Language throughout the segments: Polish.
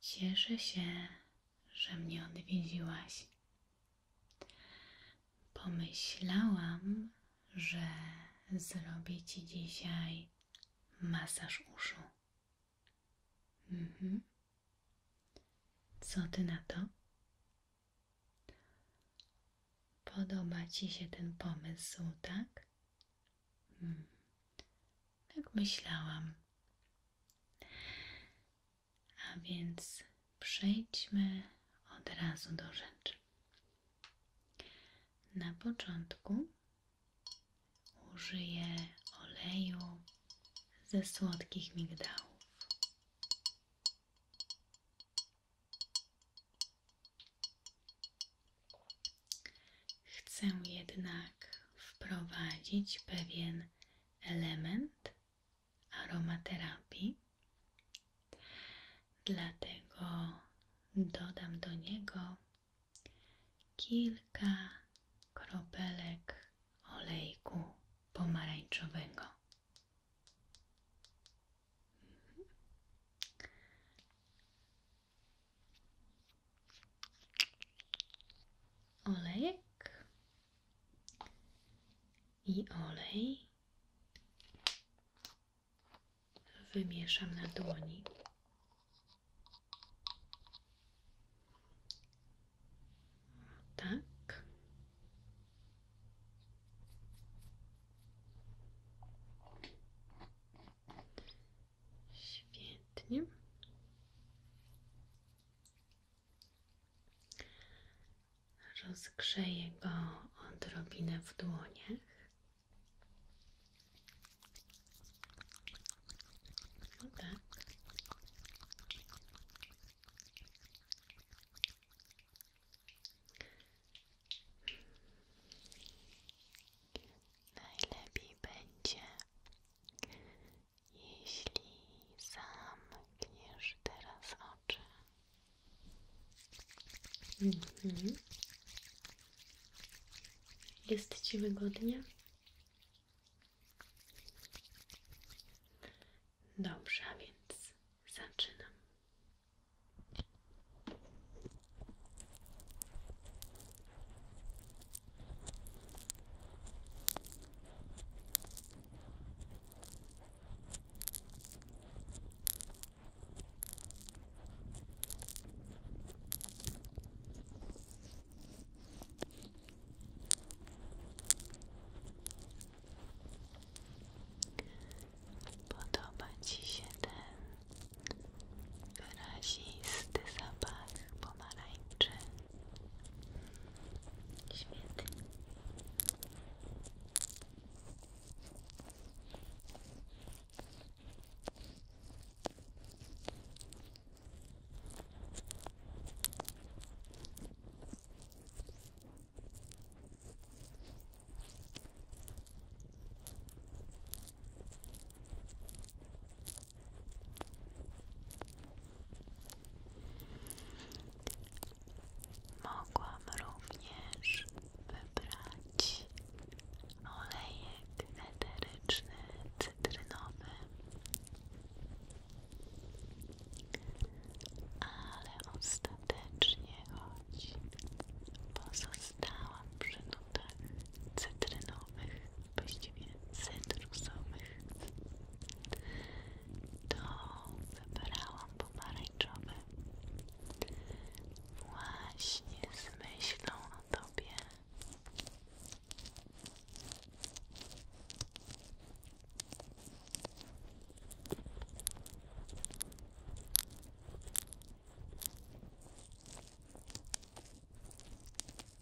Cieszę się, że mnie odwiedziłaś. Pomyślałam, że zrobię ci dzisiaj masaż uszu. Mhm. Co ty na to? Podoba ci się ten pomysł, tak? Hmm. Tak myślałam. A więc przejdźmy od razu do rzeczy. Na początku użyję oleju ze słodkich migdałów. Chcę jednak wprowadzić pewien element aromaterapii, dlatego dodam do niego kilka kropelek olejku pomarańczowego olejek i olej wymieszam na dłoni. Tak. Świetnie. Rozgrzeję go odrobinę w dłoniach. No tak. Najlepiej będzie, jeśli zamkniesz teraz oczy. Mhm. Jest Ci wygodnie? Dobrze, więc zaczynam. Podoba Ci się ten wyrazisty zapach pomarańczy. Świetnie. Mogłam również wybrać olejek eteryczny, cytrynowy, ale ostatecznie choć pozostałam przy nutach cytrynowych, właściwie cytrusowych to wybrałam pomarańczowy właśnie z o Tobie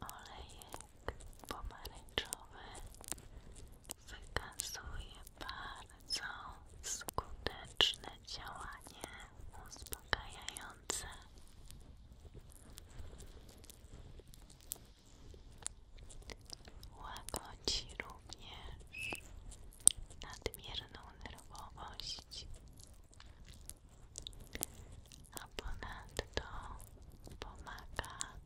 Olejek pomarańczowy wykazuje bardzo skuteczne działanie uspokajające. Łagodzi również nadmierną nerwowość a ponadto pomaga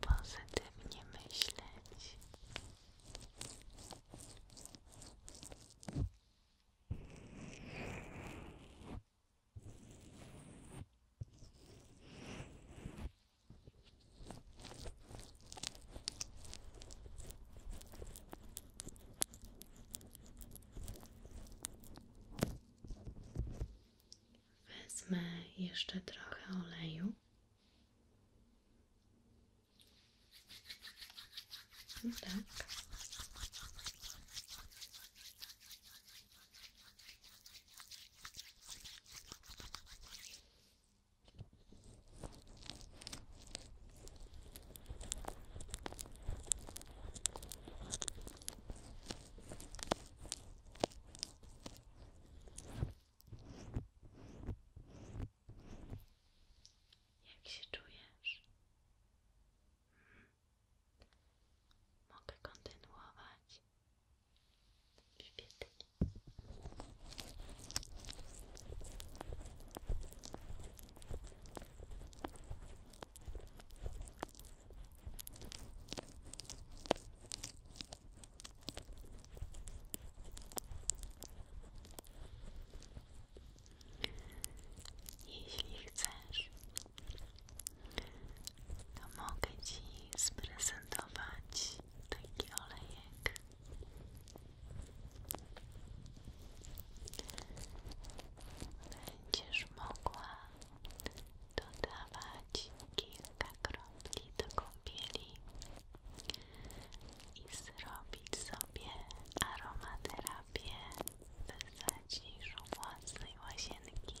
pozytywnie myśleć. Wezmę jeszcze trochę oleju. No tak. Jak się czujesz? Hmm. Mogę kontynuować świetnie. Jeśli chcesz, mogę Ci sprezentować taki olejek. Będziesz mogła dodawać kilka kropli do kąpieli i zrobić sobie aromaterapię w zaciszu własnej łazienki.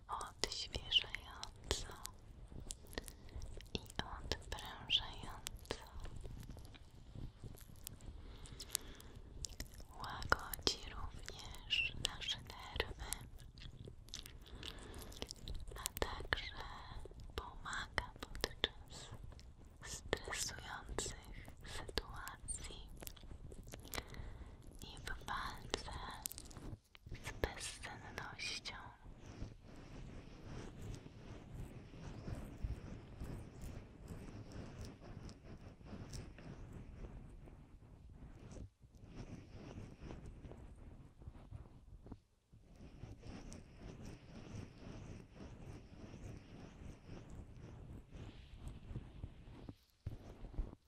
odświeżająco i odprężająco. Łagodzi również nasze nerwy, a także pomaga podczas stresujących sytuacji i w walce z bezsennością.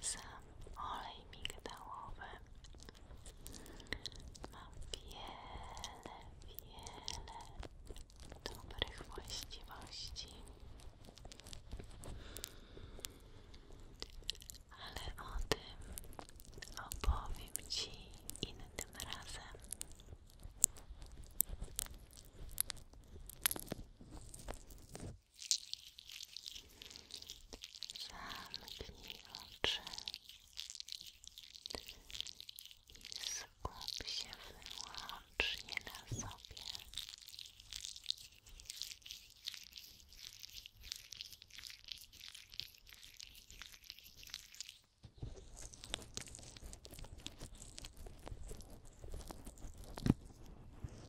sam olej migdałowy ma wiele, wiele dobrych właściwości ale o tym opowiem Ci innym razem Zamknij oczy i skup się wyłącznie na sobie.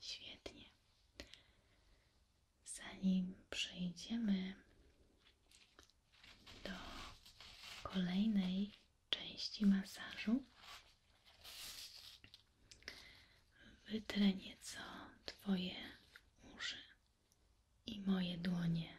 Świetnie. Zanim przejdziemy do kolejnej części masażu, wytrę nieco Twoje uszy i moje dłonie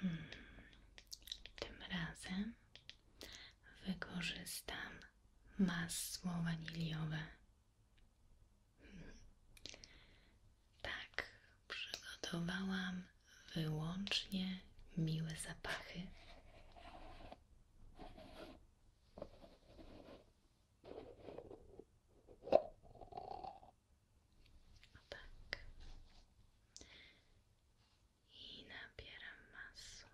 Hmm. Tym razem wykorzystam masło waniliowe. Tak, przygotowałam wyłącznie miłe zapachy. O tak. I nabieram masło.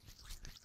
I zaczynam.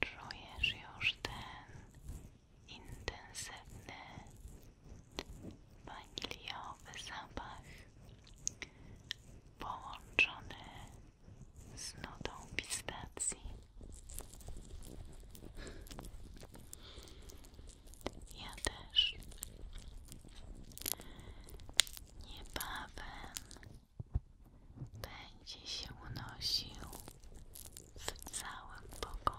Czujesz już ten intensywny, waniliowy zapach połączony z nutą pistacji. Ja też niebawem będzie się unosił w całym pokoju.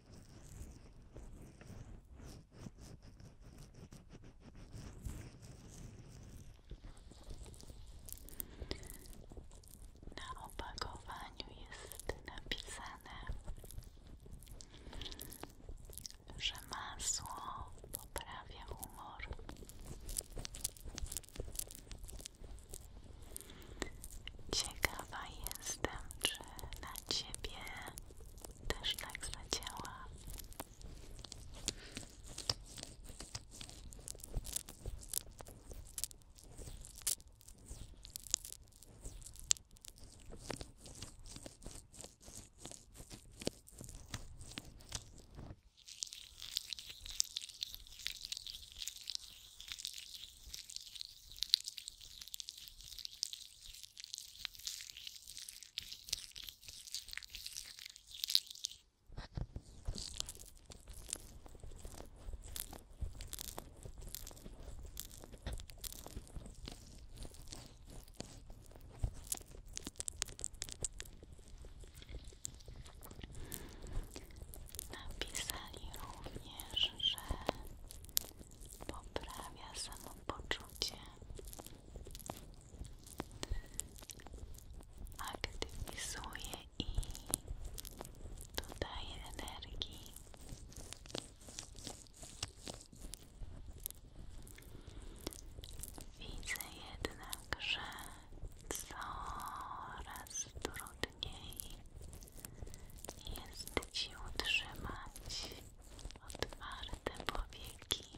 Na opakowaniu jest napisane, że masło poprawia humor. Ciekawa jestem, czy na ciebie też tak zadziała. Napisali również, że poprawia poczucie, aktywizuje i dodaje energii. Widzę jednak, że coraz trudniej niej jest Ci utrzymać otwarte powieki.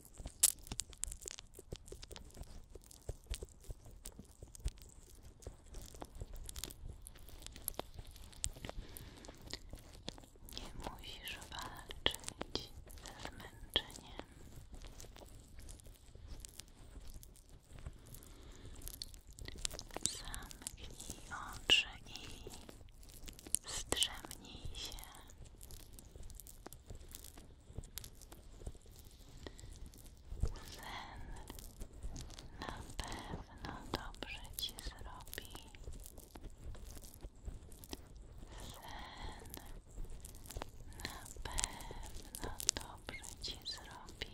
Nie musisz walczyć ze zmęczeniem. Zamknij oczy i zdrzemnij się. Sen na pewno dobrze ci zrobi. Sen na pewno dobrze ci zrobi.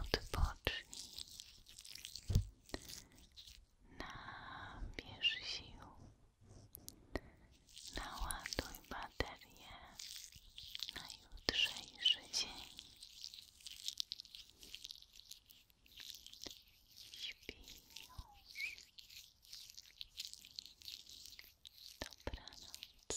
Odpocznij. Nabierz sił. Naładuj baterię na jutrzejszy dzień. Śpi już. Dobranoc.